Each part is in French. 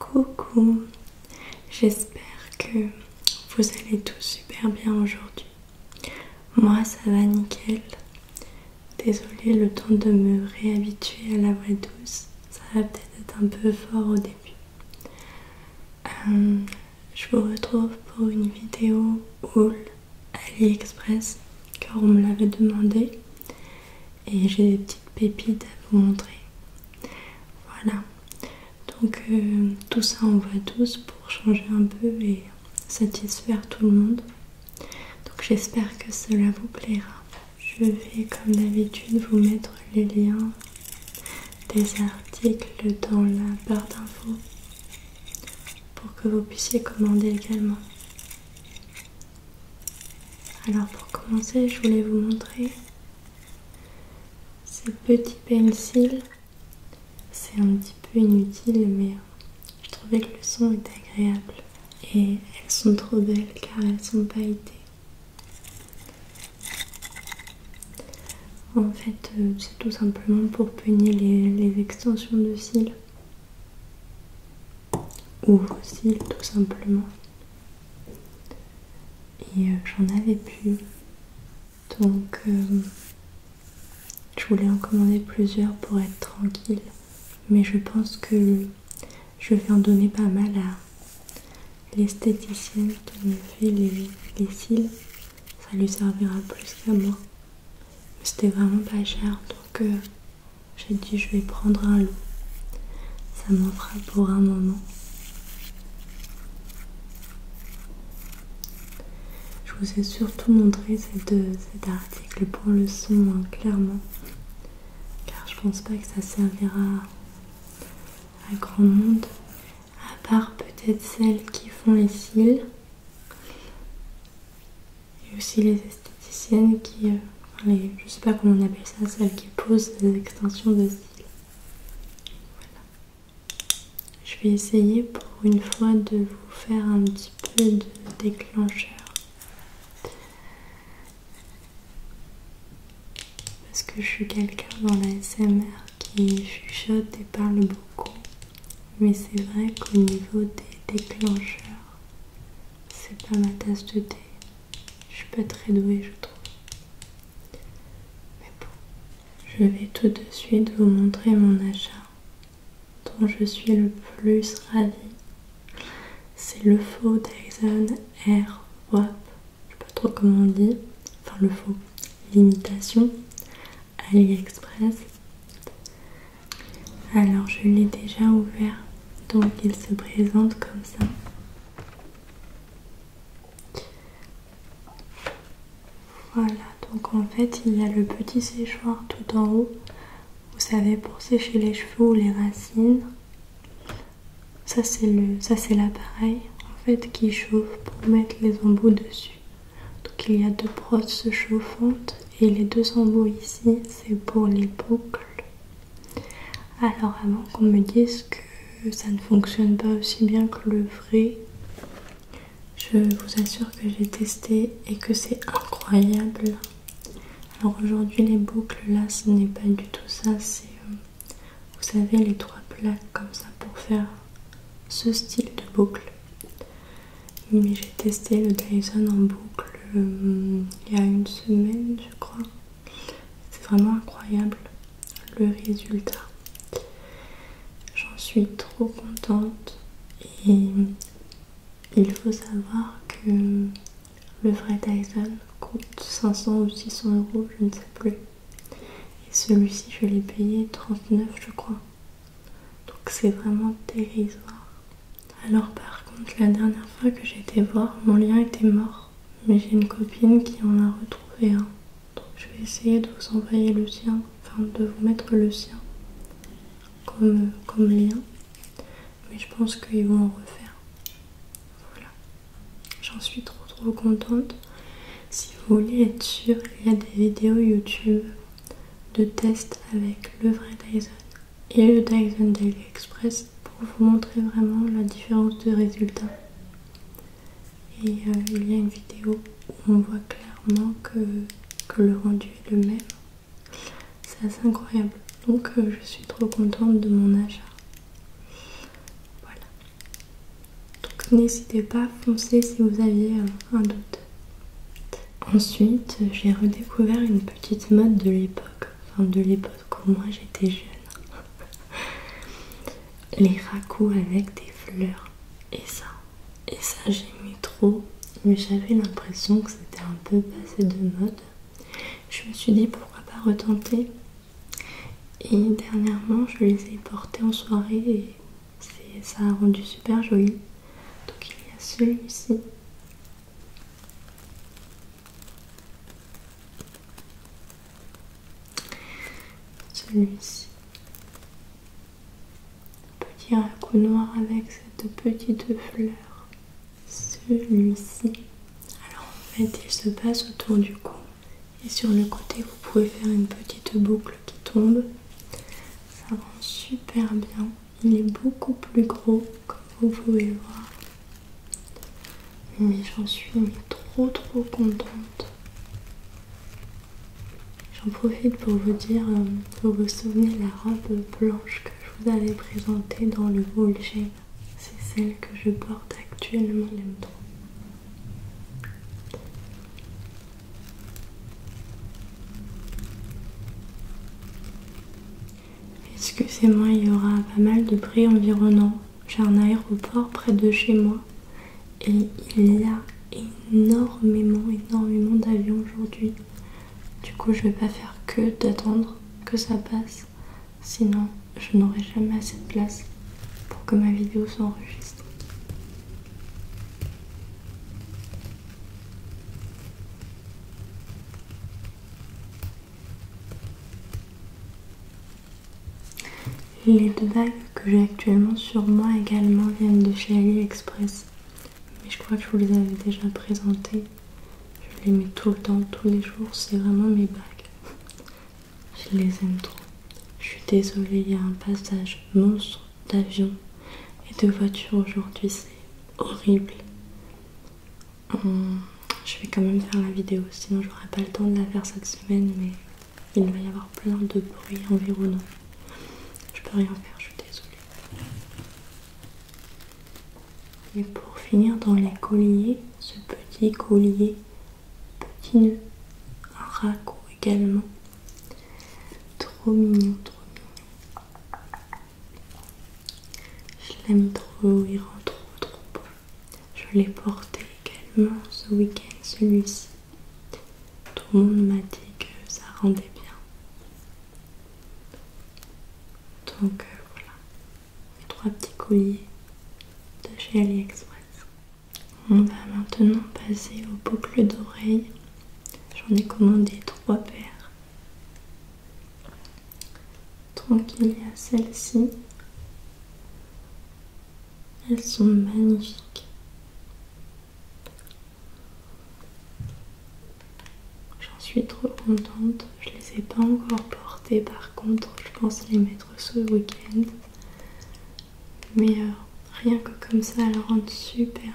Coucou, j'espère que vous allez tous super bien aujourd'hui. Moi ça va nickel. désolé le temps de me réhabituer à la voix douce, ça va peut-être être un peu fort au début. Euh, je vous retrouve pour une vidéo haul AliExpress car on me l'avait demandé et j'ai des petites pépites à vous montrer. Voilà, donc euh, tout ça on va tous pour changer un peu et satisfaire tout le monde. Donc j'espère que cela vous plaira. Je vais comme d'habitude vous mettre les liens des articles dans la barre d'infos pour que vous puissiez commander également. Alors pour commencer, je voulais vous montrer ces petits pencils. C'est un petit peu inutile, mais je trouvais que le son est agréable. Et elles sont trop belles car elles sont pailletées. En fait, euh, tout simplement pour peigner les, extensions de cils ou vos cils tout simplement et euh, j'en avais plus donc euh, je voulais en commander plusieurs pour être tranquille mais je pense que je vais en donner pas mal à l'esthéticienne qui me fait les cils ça lui servira plus qu'à moi c'était vraiment pas cher donc euh, j'ai dit je vais prendre un lot. Ça m'en fera pour un moment. Je vous ai surtout montré deux cet article pour le son hein, clairement. Car je pense pas que ça servira à grand monde. À part peut-être celles qui font les cils et aussi les esthéticiennes qui, euh, je sais pas comment on appelle ça, celles qui posent des extensions de cils. Voilà. Je vais essayer pour une fois de vous faire un petit peu de déclencheur. Parce que je suis quelqu'un dans la SMR qui chuchote et parle beaucoup mais c'est vrai qu'au niveau des déclencheurs, c'est pas ma tasse de thé. Je suis pas très douée, je trouve. Mais bon, je vais tout de suite vous montrer mon achat dont je suis le plus ravie. C'est le faux Dyson Air Wap. Je sais pas trop comment on dit. Enfin, le faux. L'imitation. AliExpress. Alors je l'ai déjà ouvert, donc il se présente comme ça. Voilà, donc en fait il y a le petit séchoir tout en haut. Vous savez, pour sécher les cheveux ou les racines. Ça c'est l'appareil en fait qui chauffe pour mettre les embouts dessus. Donc il y a deux brosses chauffantes et les deux embouts ici c'est pour les boucles. Alors avant qu'on me dise que ça ne fonctionne pas aussi bien que le vrai, je vous assure que j'ai testé et que c'est incroyable. Alors aujourd'hui les boucles là ce n'est pas du tout ça, c'est euh, vous savez les trois plaques comme ça pour faire ce style de boucle mais j'ai testé le Dyson en boucle euh, il y a une semaine je crois c'est vraiment incroyable le résultat j'en suis trop contente et il faut savoir que le vrai Dyson coûte 500 ou 600 euros je ne sais plus et celui-ci je l'ai payé 39 je crois donc c'est vraiment dérisoire. Alors par contre la dernière fois que j'ai été voir mon lien était mort mais j'ai une copine qui en a retrouvé un donc je vais essayer de vous envoyer le sien, enfin de vous mettre le sien comme, comme lien mais je pense qu'ils vont en refaire. Voilà, j'en suis trop trop contente. Si vous voulez être sûr, il y a des vidéos YouTube de test avec le vrai Dyson et le Dyson Daily Express pour vous montrer vraiment la différence de résultats. Et euh, il y a une vidéo où on voit clairement que, le rendu est le même. C'est assez incroyable. Donc euh, je suis trop contente de mon achat. Voilà. Donc n'hésitez pas, à foncer si vous aviez euh, un doute. Ensuite, j'ai redécouvert une petite mode de l'époque, enfin de l'époque où moi j'étais jeune. Les raccours avec des fleurs. Et ça, et ça j'aimais trop, mais j'avais l'impression que c'était un peu passé de mode. Je me suis dit pourquoi pas retenter. Et dernièrement, je les ai portés en soirée et ça a rendu super joli. Donc il y a celui-ci. Celui-ci. Petit coup noir avec cette petite fleur. Celui-ci. Alors en fait il se passe autour du cou. Et sur le côté vous pouvez faire une petite boucle qui tombe. Ça rend super bien. Il est beaucoup plus gros que vous pouvez voir. Mais j'en suis trop trop contente. J'en profite pour vous dire, euh, pour vous souvenir de la robe blanche que je vous avais présentée dans le haul C'est celle que je porte actuellement, même trop. Excusez-moi, il y aura pas mal de bruit environnant. J'ai un aéroport près de chez moi et il y a énormément, énormément d'avions aujourd'hui. Du coup, je ne vais pas faire que d'attendre que ça passe, sinon je n'aurai jamais assez de place pour que ma vidéo s'enregistre. Les deux bagues que j'ai actuellement sur moi également viennent de chez AliExpress. Mais je crois que je vous les avais déjà présentées. Je les mets tout le temps, tous les jours. C'est vraiment mes bagues. Je les aime trop. Je suis désolée, il y a un passage monstre d'avions et de voiture aujourd'hui, c'est horrible. je vais quand même faire la vidéo, sinon j'aurai pas le temps de la faire cette semaine, mais il va y avoir plein de bruit environnant. Je peux rien faire, je suis désolée. Et pour finir dans les colliers, ce petit collier, petit nœud, un également. Trop mignon, trop mignon. Je l'aime trop, il rend trop trop beau. Je l'ai porté également ce week-end, celui-ci. Tout le monde m'a dit que ça rendait bien. Donc euh, voilà, les trois petits colliers de chez AliExpress. On va maintenant passer aux boucles d'oreilles. J'en ai commandé trois paires Tranquille à y a ci Elles sont magnifiques. J'en suis trop contente. Je les ai pas encore portées par contre. Je pense les mettre ce week-end. Mais euh, rien que comme ça, elles rendent super bien.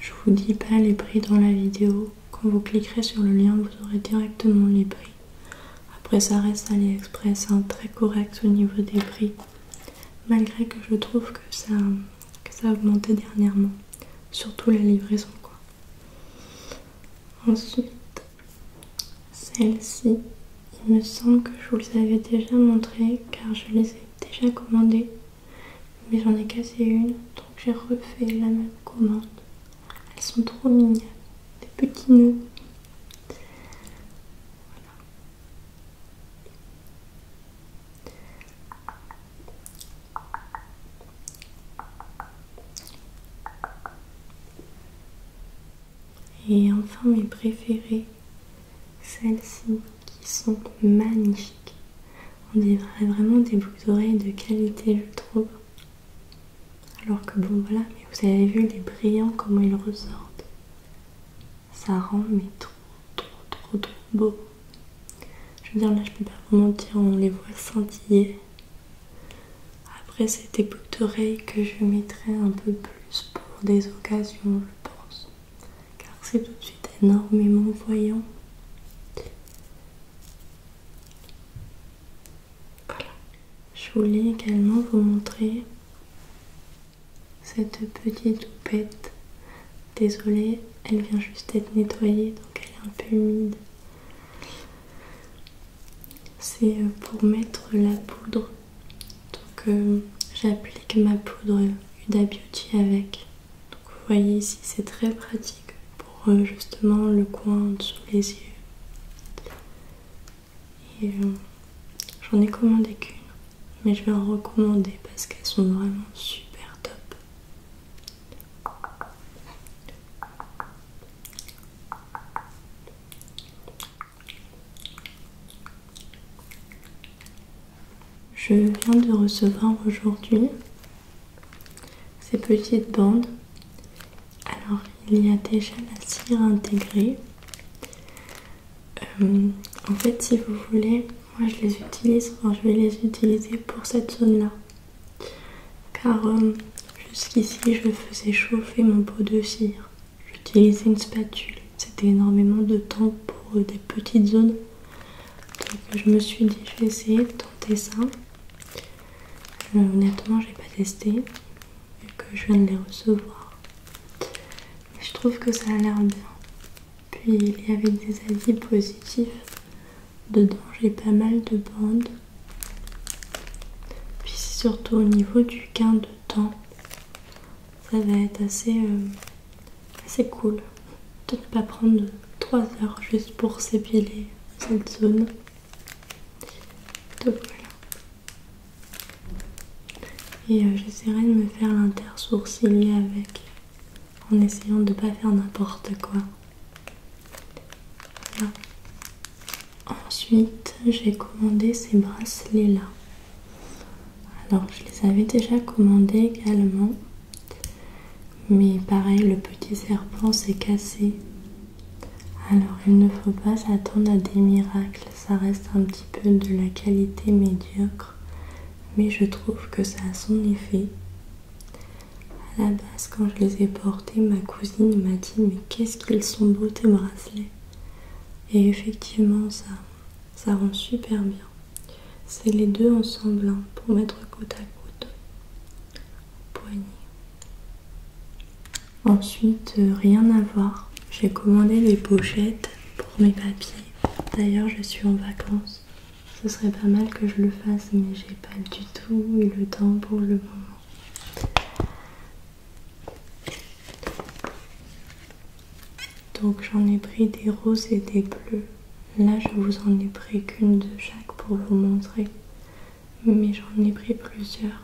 Je vous dis pas les prix dans la vidéo. Quand vous cliquerez sur le lien, vous aurez directement les prix. Après, ça reste AliExpress, hein, très correct au niveau des prix. Malgré que je trouve que ça que ça a augmenté dernièrement, surtout la livraison quoi. Ensuite, celle-ci, il me semble que je vous les avais déjà montrées car je les ai déjà commandées, mais j'en ai cassé une donc j'ai refait la même commande. Elles sont trop mignonnes, des petits nœuds. Voilà. Et enfin mes préférées, celles-ci qui sont magnifiques. On dirait vraiment des boucles d'oreilles de qualité, je trouve. Alors que bon voilà, mais vous avez vu les brillants comment ils ressortent ça rend mais trop trop trop trop beau. Je veux dire là je peux pas vous mentir, on les voit scintiller. Après des boucles d'oreilles que je mettrai un peu plus pour des occasions je pense. Car c'est tout de suite énormément voyant. Voilà. Je voulais également vous montrer cette petite loupette. Désolée, elle vient juste d'être nettoyée, donc elle est un peu humide. C'est euh, pour mettre la poudre. Donc euh, j'applique ma poudre euh, Uda Beauty avec. Donc vous voyez ici, c'est très pratique pour justement le coin en dessous les yeux. Et j'en ai commandé qu'une mais je vais en recommander parce qu'elles sont vraiment super top. Je viens de recevoir aujourd'hui ces petites bandes. Alors il y a déjà la cire intégrée. Euh, en fait, si vous voulez, moi je les utilise, je vais les utiliser pour cette zone là. Car euh, jusqu'ici, je faisais chauffer mon pot de cire. J'utilisais une spatule. C'était énormément de temps pour euh, des petites zones. Donc je me suis dit, je vais essayer de tenter ça. honnêtement honnêtement, j'ai pas testé, vu que je viens de les recevoir. je trouve que ça a l'air bien. Puis il y avait des avis positifs. Dedans j'ai pas mal de bandes. Puis surtout au niveau du gain de temps. Ça va être assez, euh, assez cool de ne pas prendre 3 heures juste pour s'épiler cette zone. voilà. Et euh, j'essaierai de me faire l'inter-sourcilier avec en essayant de pas faire n'importe quoi. Ensuite, j'ai commandé ces bracelets-là. Alors, je les avais déjà commandés également. Mais pareil, le petit serpent s'est cassé. Alors, il ne faut pas s'attendre à des miracles. Ça reste un petit peu de la qualité médiocre mais je trouve que ça a son effet. À la base, quand je les ai portés, ma cousine m'a dit Mais qu'est-ce qu'ils sont beaux tes bracelets Et effectivement, ça, ça rend super bien. C'est les deux ensemble hein, pour mettre côte à côte au poignet. Ensuite, euh, rien à voir. J'ai commandé les pochettes pour mes papiers. D'ailleurs, je suis en vacances. Ce serait pas mal que je le fasse, mais j'ai pas du tout eu le temps pour le moment. Donc j'en ai pris des roses et des bleus. Là je vous en ai pris qu'une de chaque pour vous montrer. Mais j'en ai pris plusieurs.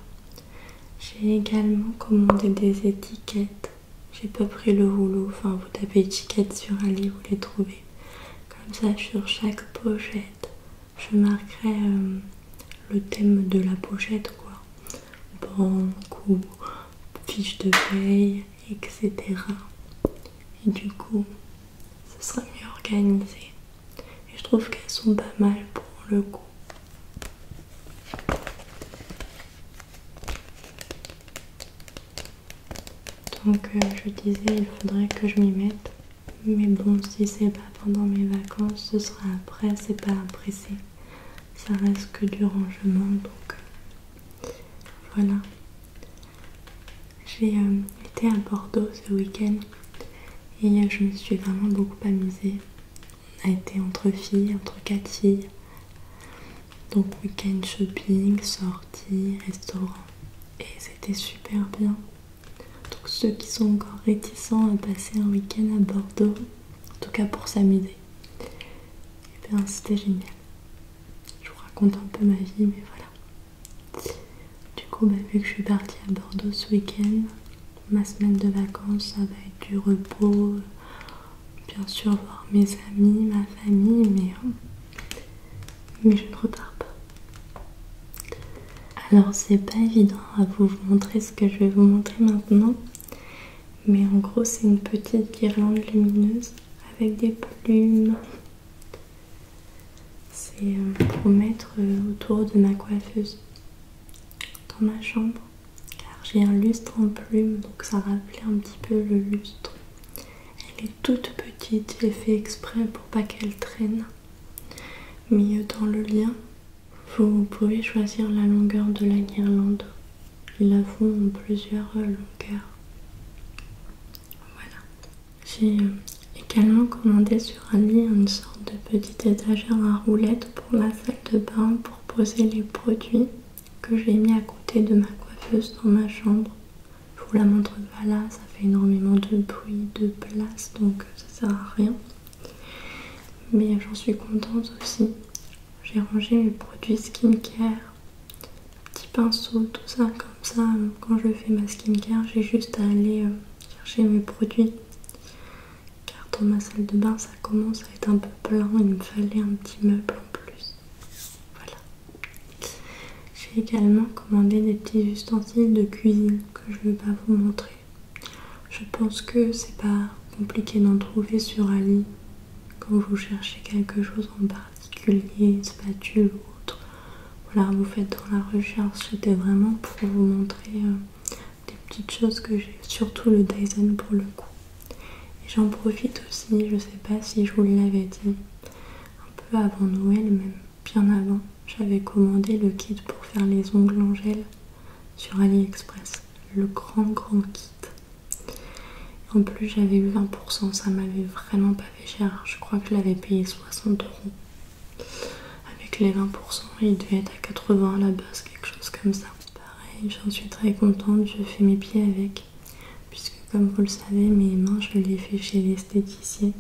J'ai également commandé des étiquettes j'ai pas pris le rouleau, enfin vous tapez étiquette sur un lit, vous les trouvez. Comme ça sur chaque pochette, je marquerai euh, le thème de la pochette quoi. Banque ou fiche de veille etc. Et du coup, ce sera mieux organisé. Et je trouve qu'elles sont pas mal pour le coup. Donc je disais, il faudrait que je m'y mette. Mais bon, si c'est pas pendant mes vacances, ce sera après, c'est pas pressé. Ça reste que du rangement, donc euh, voilà. J'ai euh, été à Bordeaux ce week-end et euh, je me suis vraiment beaucoup amusée. On a été entre filles, entre quatre filles. Donc week-end shopping, sortie, restaurant. Et c'était super bien. Donc ceux qui sont encore réticents à passer un week-end à Bordeaux, en tout cas pour s'amuser, et eh bien c'était génial. Je vous raconte un peu ma vie, mais voilà. Du coup, bah, vu que je suis partie à Bordeaux ce week-end, ma semaine de vacances, ça va être du repos, bien sûr voir mes amis, ma famille, mais, euh, mais je ne repars pas. Alors c'est pas évident à vous montrer ce que je vais vous montrer maintenant, mais en gros c'est une petite guirlande lumineuse avec des plumes. C'est euh, pour mettre euh, autour de ma coiffeuse dans ma chambre, car j'ai un lustre en plumes, donc ça rappelait un petit peu le lustre. Elle est toute petite, j'ai fait exprès pour pas qu'elle traîne. Mais dans le lien, vous pouvez choisir la longueur de la guirlande. Ils la font en plusieurs longueurs. Voilà. J'ai euh, également commandé sur un lit une sorte de petite étagère à roulettes pour ma salle de bain pour poser les produits que j'ai mis à côté de ma coiffeuse dans ma chambre je vous la montre pas là, ça fait énormément de bruit, de place, donc ça sert à rien. Mais j'en suis contente aussi. J'ai rangé mes produits skincare, petit pinceau, tout ça comme ça. Quand je fais ma skincare, j'ai juste à aller euh, chercher mes produits. Car dans ma salle de bain, ça commence à être un peu plein. Il me fallait un petit meuble en plus. Voilà. J'ai également commandé des petits ustensiles de cuisine que je ne vais pas vous montrer. Je pense que c'est pas compliqué d'en trouver sur Ali quand vous cherchez quelque chose en particulier, spatule ou autre. Voilà, vous faites dans la recherche. C'était vraiment pour vous montrer euh, des petites choses que j'ai, surtout le Dyson pour le coup. Et j'en profite aussi, je ne sais pas si je vous l'avais dit, un peu avant Noël, même bien avant, j'avais commandé le kit pour faire les ongles en gel sur AliExpress. Le grand, grand kit. En plus, j'avais eu 20%, ça m'avait vraiment pas fait cher. Je crois que je l'avais payé 60 euros. Avec les 20%, il devait être à 80 à la base, quelque chose comme ça. Pareil, j'en suis très contente, je fais mes pieds avec puisque comme vous le savez mes mains je les fais chez l'esthéticien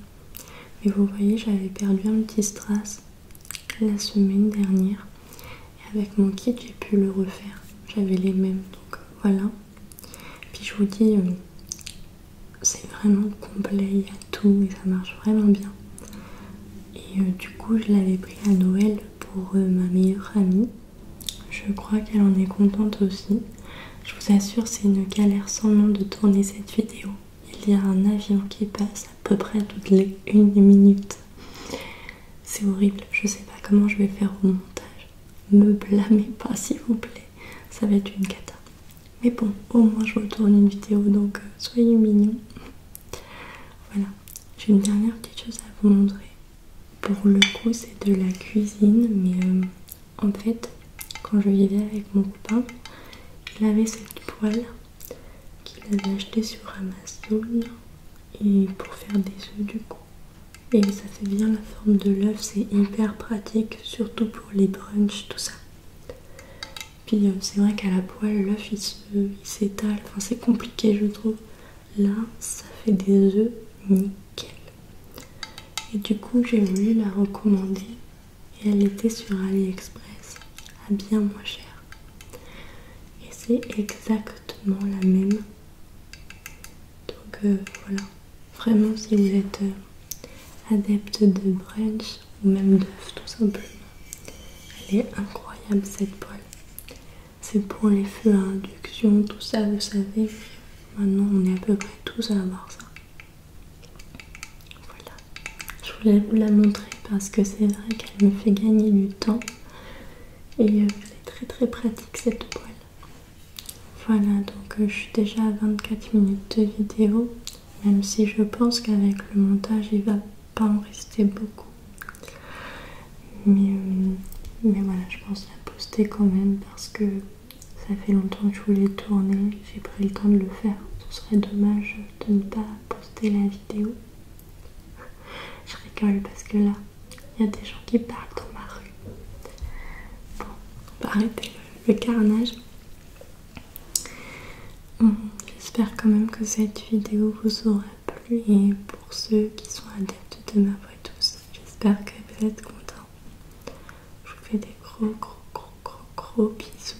mais vous voyez j'avais perdu un petit strass la semaine dernière et avec mon kit j'ai pu le refaire j'avais les mêmes donc voilà puis je vous dis euh, c'est vraiment complet il y a tout et ça marche vraiment bien et euh, du coup je l'avais pris à Noël pour euh, ma meilleure amie je crois qu'elle en est contente aussi. Je vous assure, c'est une galère sans nom de tourner cette vidéo. Il y a un avion qui passe à peu près toutes les 1 minute. C'est horrible, je sais pas comment je vais faire au montage. Me blâmez pas s'il vous plaît, ça va être une cata. Mais bon, au moins je retourne une vidéo, donc euh, soyez mignons. Voilà, j'ai une dernière petite chose à vous montrer. Pour le coup, c'est de la cuisine, mais euh, en fait, quand je vivais avec mon copain, il avait cette poêle qu'il avait achetée sur Amazon et pour faire des œufs du coup. Et ça fait bien la forme de l'œuf, c'est hyper pratique, surtout pour les brunchs, tout ça. Puis euh, c'est vrai qu'à la poêle, l'œuf il s'étale, enfin c'est compliqué je trouve. Là, ça fait des œufs nickel et du coup j'ai voulu la recommander et elle était sur AliExpress à bien moins cher et c'est exactement la même donc euh, voilà vraiment si vous êtes euh, adepte de brunch ou même d'œufs tout simplement elle est incroyable cette poêle c'est pour les feux à induction tout ça vous savez Maintenant, on est à peu près tous à avoir ça. Voilà. Je voulais vous la montrer parce que c'est vrai qu'elle me fait gagner du temps. Et elle euh, c'est très très pratique cette poêle. Voilà, donc euh, je suis déjà à 24 minutes de vidéo. Même si je pense qu'avec le montage, il va pas en rester beaucoup. Mais, euh, mais voilà, je pense la poster quand même parce que ça fait longtemps que je voulais tourner, j'ai pris le temps de le faire. Ce serait dommage de ne pas poster la vidéo. je rigole parce que là, il y a des gens qui parlent dans ma rue. Bon, on va arrêter le, carnage. Hum, j'espère quand même que cette vidéo vous aura plu et pour ceux qui sont adeptes de ma voix douce, j'espère que vous êtes contents. Je vous fais des gros, gros, gros, gros, gros bisous.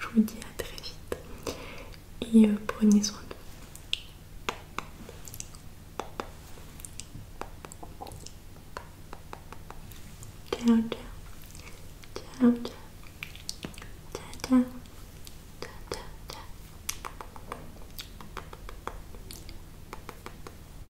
Je vous dis à très vite. Et euh, prenez soin de vous. Ciao, ciao. Ciao, ciao.